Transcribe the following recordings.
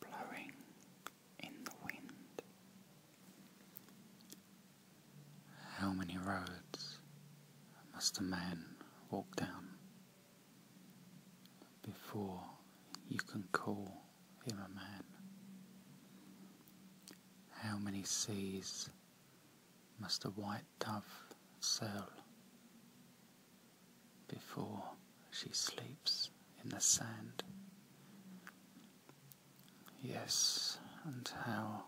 blowing in the wind. How many roads must a man walk down before you can call him a man? How many seas must the white dove sail before she sleeps in the sand? Yes, and how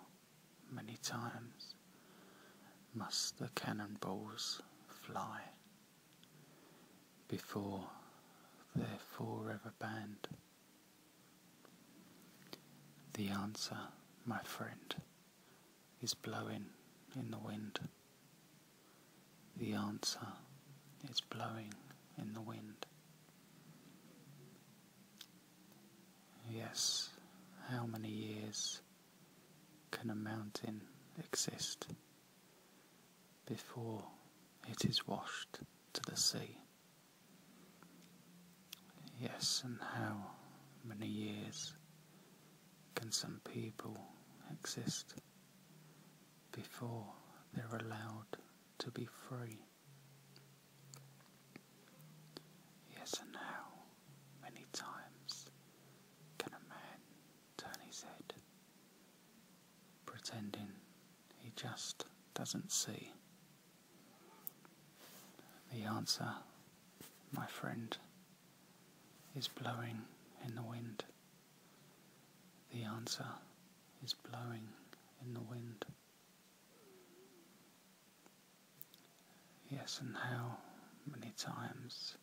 many times must the cannonballs fly before their forever banned? The answer, my friend is blowing in the wind. The answer is blowing in the wind. Yes, how many years can a mountain exist before it is washed to the sea? Yes, and how many years can some people exist before they're allowed to be free? Yes, and how many times can a man turn his head, pretending he just doesn't see the answer, my friend, is blowing in the wind. The answer is blowing in the wind. Yes, and how many times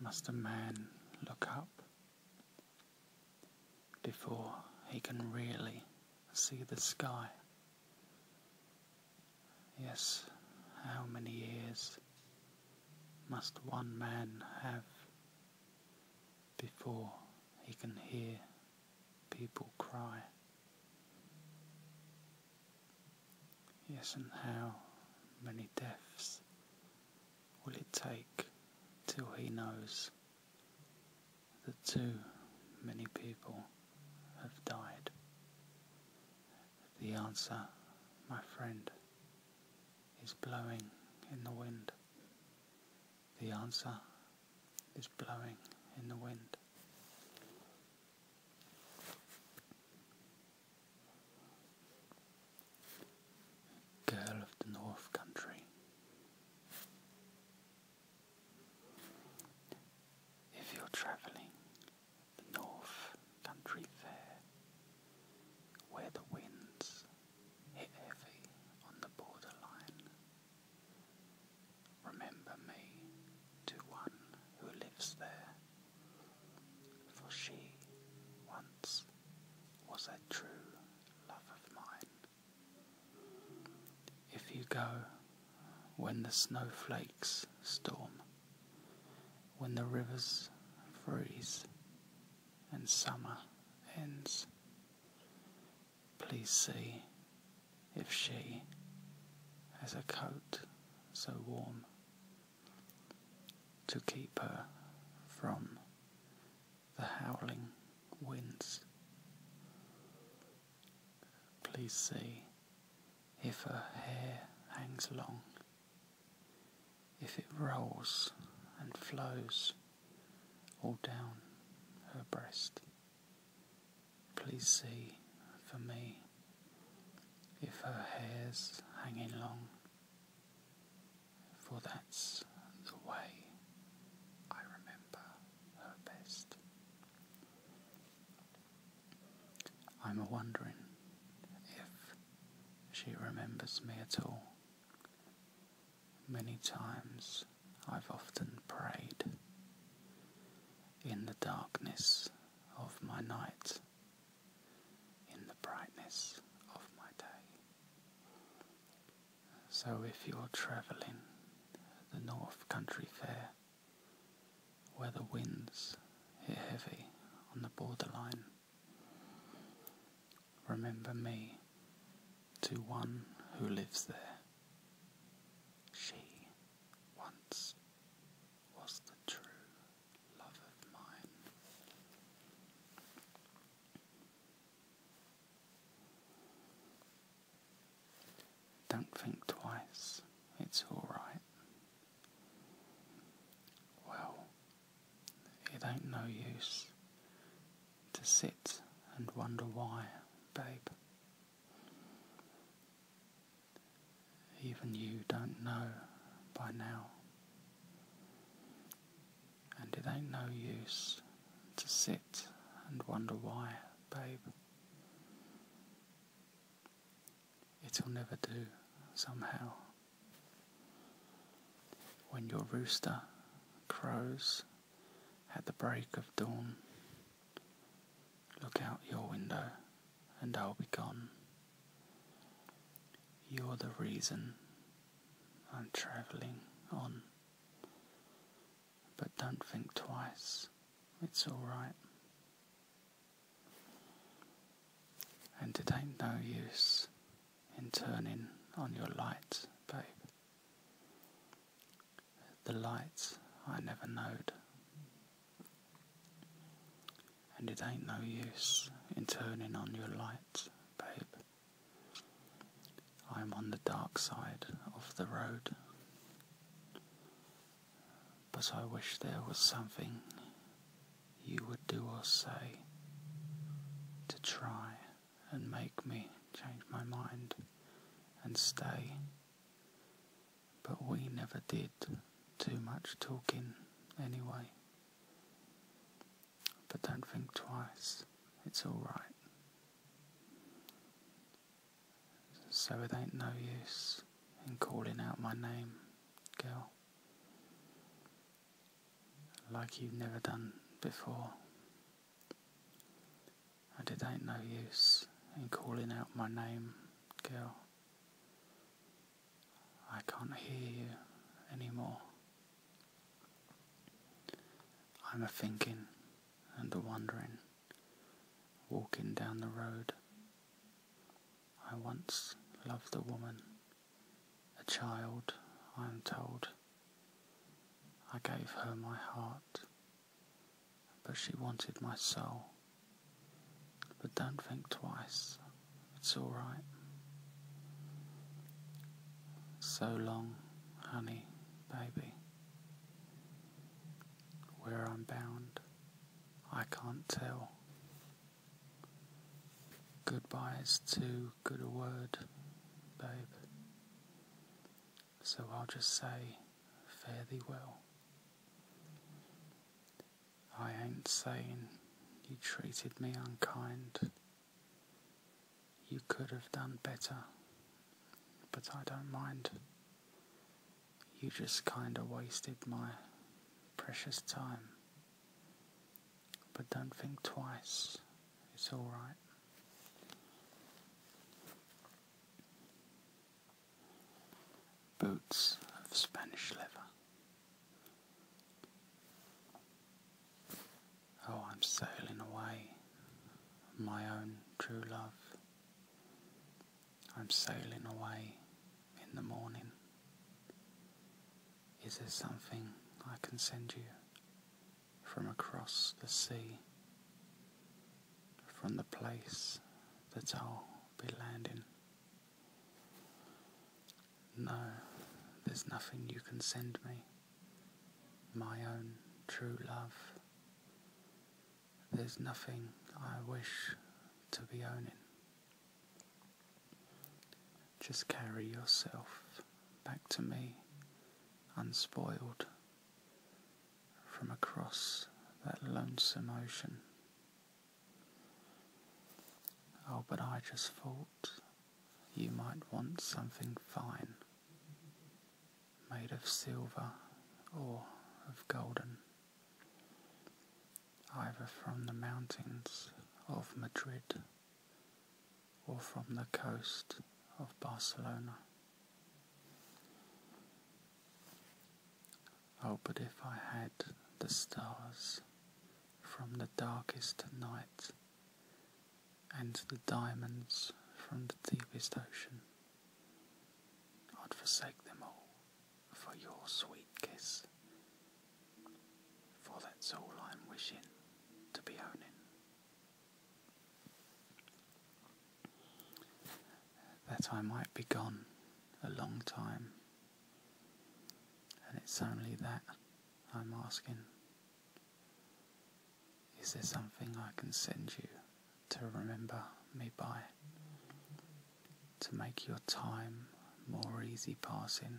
must a man look up before he can really see the sky? Yes, how many years must one man have before he can hear people cry? Yes, and how many deaths will it take till he knows that too many people have died? The answer, my friend, is blowing in the wind. The answer is blowing in the wind. Girl of the North Country. If you're travelling the North Country Fair, where the winds hit heavy on the border line, remember me to one who lives there, for she once was a true love of mine. If you go when the snowflakes storm, when the rivers freeze and summer ends, please see if she has a coat so warm to keep her from the howling winds. Please see if her hair hangs long, if it rolls and flows all down her breast. Please see for me if her hair's hanging long, for that's the way I remember her best. I'm a wondering if she remembers me at all. Many times I've often prayed in the darkness of my night, in the brightness of my day. So if you're travelling the North Country Fair, where the winds hit heavy on the borderline. Remember me to one who lives there. She once was the true love of mine. Don't think twice, it's alright. Well, it ain't no use to sit and wonder why, babe. Even you don't know by now. And it ain't no use to sit and wonder why, babe. It'll never do, somehow. When your rooster crows at the break of dawn, look out your window and I'll be gone. You're the reason I'm travelling on. But don't think twice. It's all right. And it ain't no use in turning on your light, babe. The lights I never knowed. And it ain't no use in turning on your light, babe. I'm on the dark side of the road. But I wish there was something you would do or say to try and make me change my mind and stay. But we never did too much talking anyway. But don't think twice, it's alright. So it ain't no use in calling out my name, girl. Like you've never done before. And it ain't no use in calling out my name, girl. I can't hear you anymore. I'm a thinking and a wondering walking down the road. I once loved a woman, a child, I am told. I gave her my heart, but she wanted my soul. But don't think twice, it's alright. So long, honey, baby. Where I'm bound, I can't tell. Goodbye's too good a word, babe. So I'll just say, fare thee well. I ain't saying you treated me unkind. You could have done better, but I don't mind. You just kinda wasted my precious time. But don't think twice, it's alright. Boots of Spanish leather. Oh, I'm sailing away, my own true love. I'm sailing away in the morning. Is there something I can send you from across the sea, from the place that I'll be landing? No, there's nothing you can send me, my own true love. There's nothing I wish to be owning. Just carry yourself back to me unspoiled from across that lonesome ocean. Oh, but I just thought you might want something fine made of silver or of golden, either from the mountains of Madrid or from the coast of Barcelona. Oh, but if I had the stars from the darkest night and the diamonds from the deepest ocean. I'd forsake them all for your sweet kiss. For that's all I'm wishing to be owning. That I might be gone a long time, and it's only that I'm asking. Is there something I can send you to remember me by? To make your time more easy passing?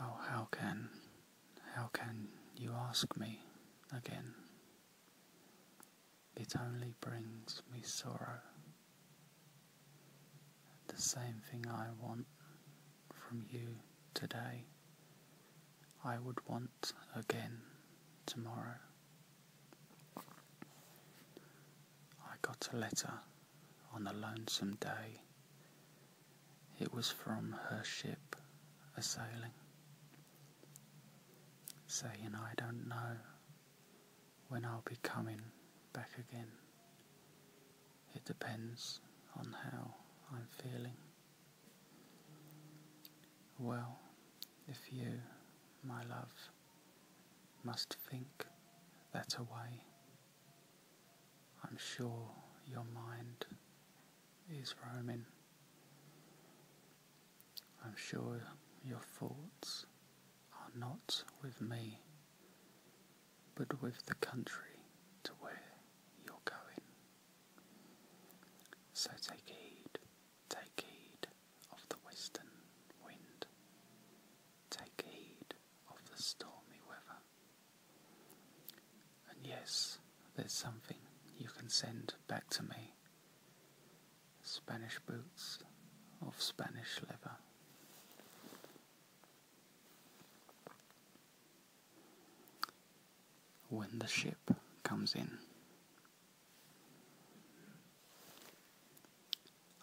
Oh, how can, how can you ask me again? It only brings me sorrow. The same thing I want from you today, I would want again tomorrow. I got a letter on a lonesome day. It was from her ship a sailing, saying, I don't know when I'll be coming back again. It depends on how I'm feeling. Well, if you, my love, must think that away, I'm sure your mind is roaming. I'm sure your thoughts are not with me, but with the country to where you're going. So take heed, take heed of the western wind, take heed of the stormy weather. And yes, there's something you can send back to me Spanish boots of Spanish leather when the ship comes in.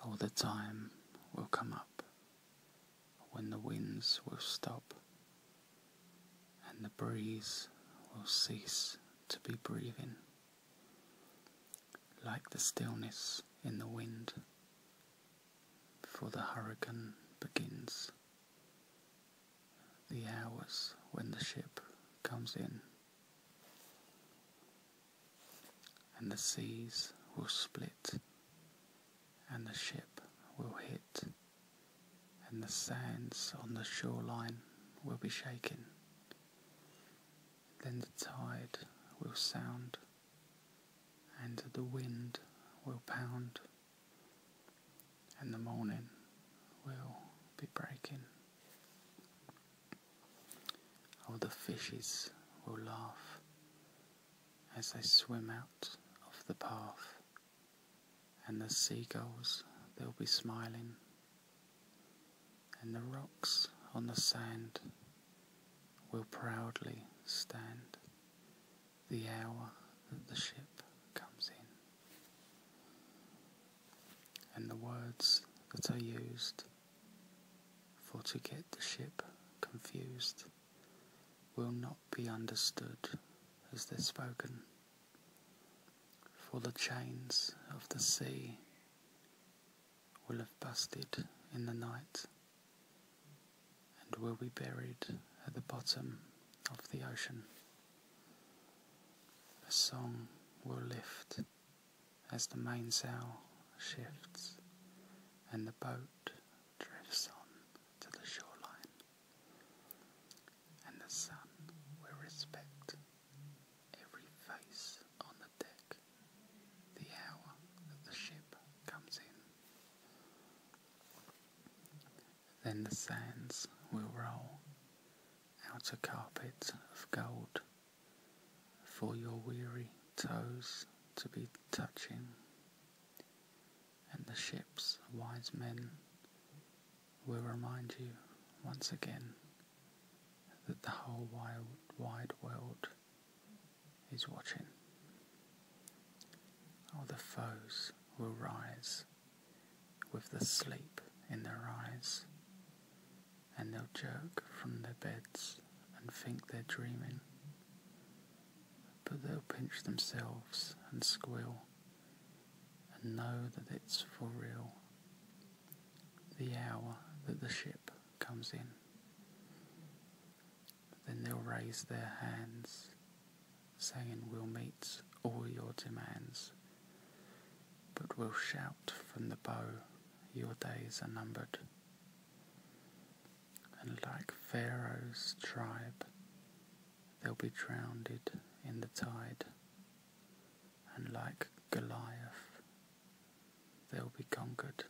All the time will come up when the winds will stop and the breeze will cease to be breathing, like the stillness in the wind, before the hurricane begins the hours when the ship comes in, and the seas will split, and the ship will hit, and the sands on the shoreline will be shaken. Then the tide will sound, and the wind will pound and the morning will be breaking. Oh, the fishes will laugh as they swim out of the path, and the seagulls they'll be smiling, and the rocks on the sand will proudly stand the hour that the ship comes in. And the words that are used for to get the ship confused will not be understood as they're spoken. For the chains of the sea will have busted in the night and will be buried at the bottom of the ocean. A song will lift as the mainsail shifts and the boat drifts on to the shoreline, and the sun will respect every face on the deck the hour that the ship comes in. Then the sands will roll out a carpet of gold for your weary toes to be touching. And the ship's wise men will remind you once again that the whole wide world is watching. All the foes will rise with the sleep in their eyes, and they'll jerk from their beds and think they're dreaming. But they'll pinch themselves and squeal and know that it's for real. The hour that the ship comes in. Then they'll raise their hands saying we'll meet all your demands, but we'll shout from the bow, your days are numbered. And like Pharaoh's tribe, they'll be drowned in the tide, and like Goliath, they'll be conquered.